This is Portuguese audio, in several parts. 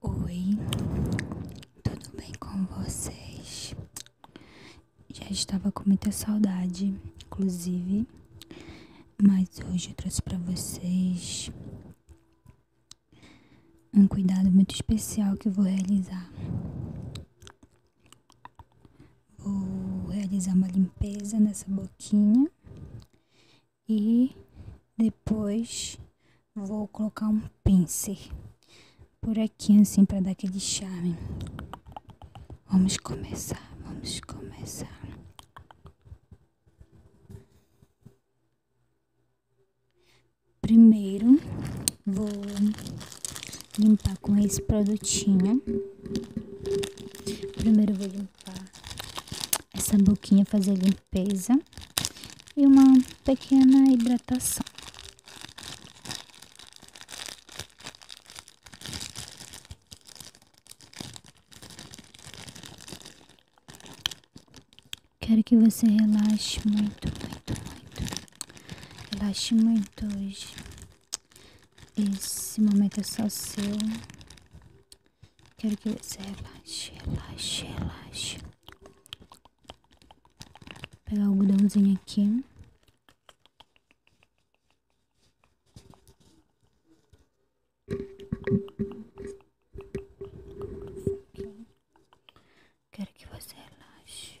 Oi, tudo bem com vocês? Já estava com muita saudade, inclusive, mas hoje eu trouxe para vocês um cuidado muito especial que vou realizar. Vou realizar uma limpeza nessa boquinha e depois vou colocar um pincel por aqui assim para dar aquele charme. Vamos começar, vamos começar. Primeiro vou limpar com esse produtinho. Primeiro vou limpar essa boquinha, fazer limpeza e uma pequena hidratação. Quero que você relaxe muito, muito, muito. Relaxe muito hoje. Esse momento é só seu. Quero que você relaxe, relaxe, relaxe. Vou pegar o algodãozinho aqui. Quero que você relaxe.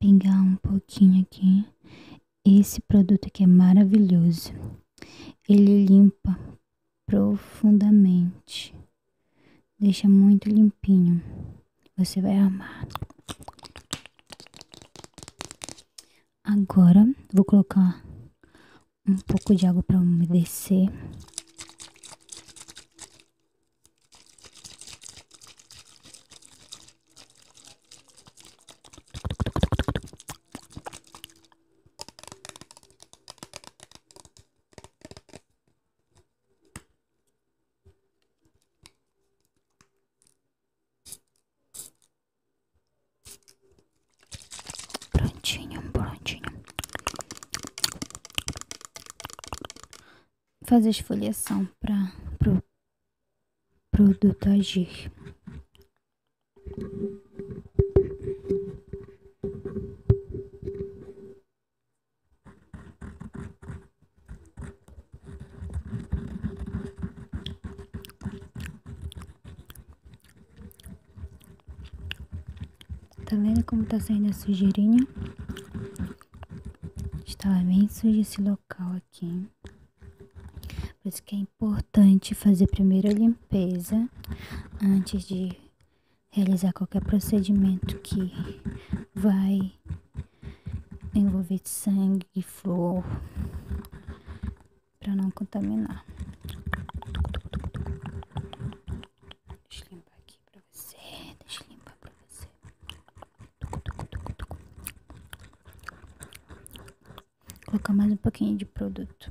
Pegar um pouquinho aqui. Esse produto aqui é maravilhoso. Ele limpa profundamente. Deixa muito limpinho. Você vai amar. Agora vou colocar um pouco de água para umedecer. Prontinho, prontinho fazer esfoliação para produto agir. Tá vendo como tá saindo a sujeirinha? Estava bem sujo esse local aqui. Hein? Por isso que é importante fazer primeiro a limpeza antes de realizar qualquer procedimento que vai envolver sangue e flor para não contaminar. Deixa eu limpar aqui pra você. Deixa eu limpar pra você. Vou colocar mais um pouquinho de produto.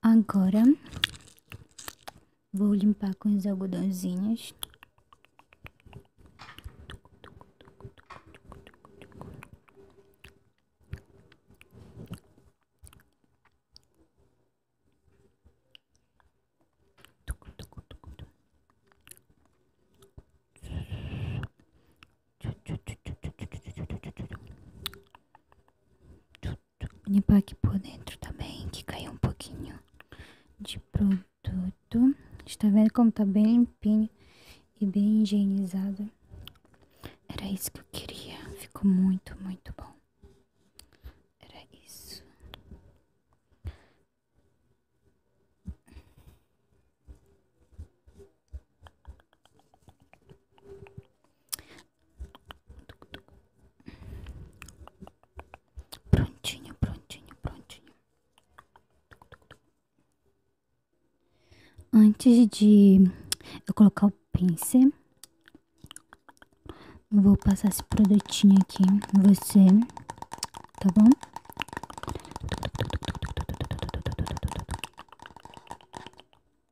Agora vou limpar com os algodãozinhos limpar aqui por dentro também, que caiu um pouquinho de produto. Está vendo como tá bem limpinho e bem higienizado? Era isso que eu queria. Ficou muito, muito bom. Era isso. Prontinho, prontinho, prontinho. Antes de eu colocar o pincel, vou passar esse produtinho aqui você, tá bom?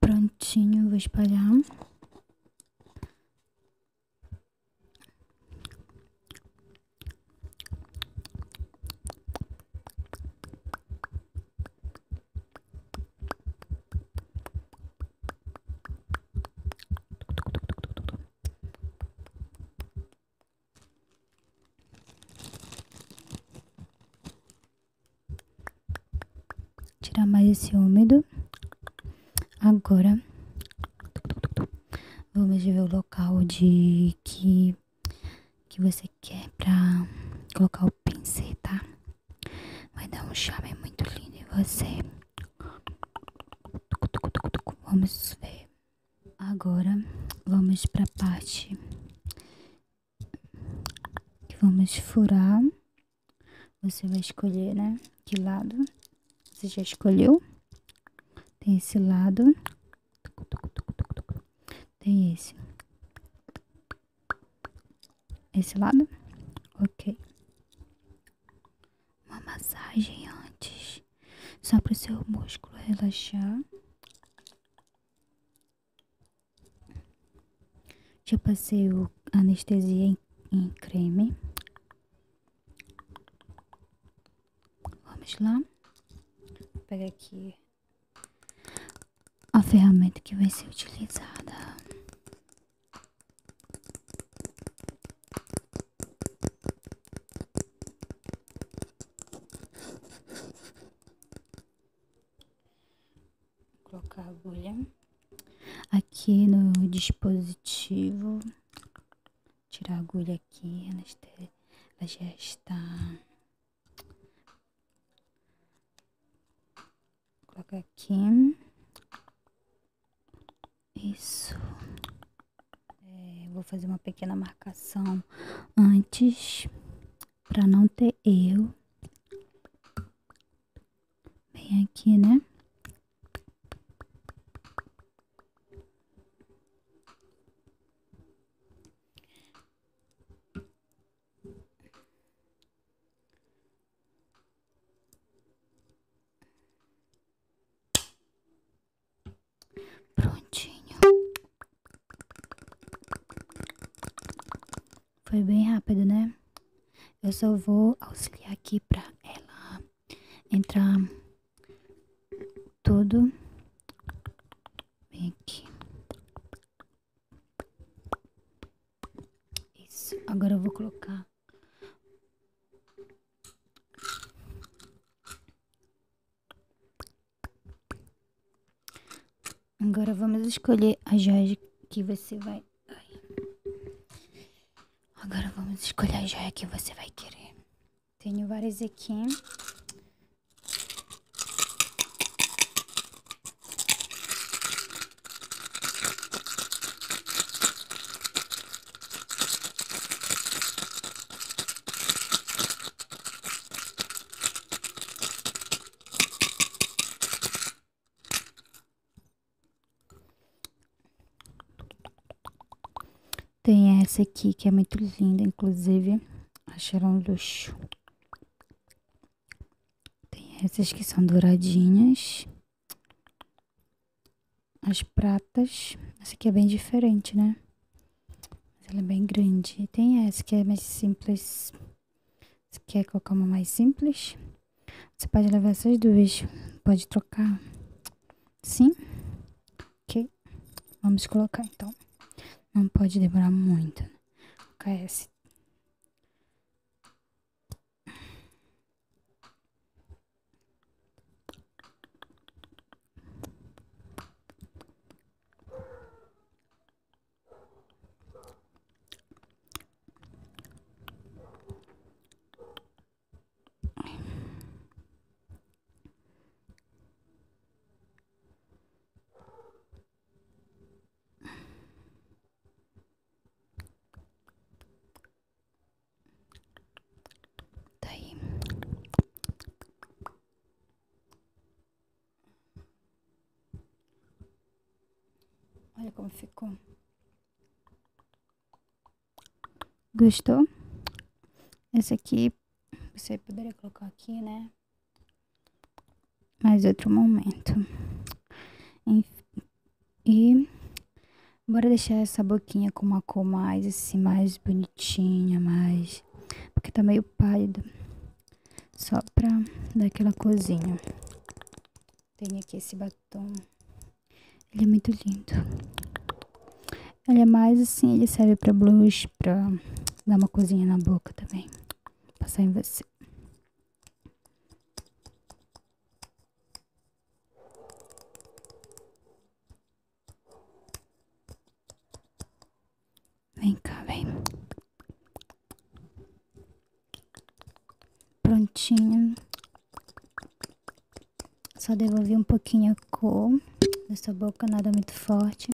Prontinho, vou espalhar. Tirar mais esse úmido. Agora, vamos ver o local de que que você quer pra colocar o pincel, tá? Vai dar um charme é muito lindo e você. Vamos ver. Agora vamos pra parte que vamos furar. Você vai escolher, né? Que lado? Você já escolheu? Tem esse lado. Tem esse. Esse lado? Ok. Uma massagem antes. Só para o seu músculo relaxar. Já passei o anestesia em, creme. Vamos lá. Vou pegar aqui a ferramenta que vai ser utilizada. colocar agulha aqui no dispositivo, tirar agulha aqui, ela já está Coloca aqui. Isso. É, vou fazer uma pequena marcação antes para não ter erro. Bem aqui, né? Prontinho. Foi bem rápido, né? Eu só vou auxiliar aqui para ela entrar tudo Vem aqui. Isso. Agora eu vou colocar. Agora vamos escolher a joia que você vai. Agora vamos escolher a joia que você vai querer. Tenho várias aqui. Tem essa aqui que é muito linda, inclusive, achei ela um luxo. Tem essas que são douradinhas. As pratas. Essa aqui é bem diferente, né? Mas ela é bem grande. E tem essa que é mais simples. Você quer é colocar uma mais simples? Você pode levar essas duas. Pode trocar. Sim? Ok. Vamos colocar então. Não pode demorar muito. KS. Tá aí. Olha como ficou. Gostou? Esse aqui você poderia colocar aqui, né? mais outro momento. Enfim, e bora deixar essa boquinha com uma cor mais assim, mais bonitinha, mais. Porque tá meio pálido. Só pra dar aquela cozinha. Tem aqui esse batom. Ele é muito lindo. Ele é mais assim, ele serve pra blush, blush pra dar uma cozinha na boca também. Passar em você. Vem cá, vem. prontinha Só devolvi um pouquinho a cor da boca, nada muito forte.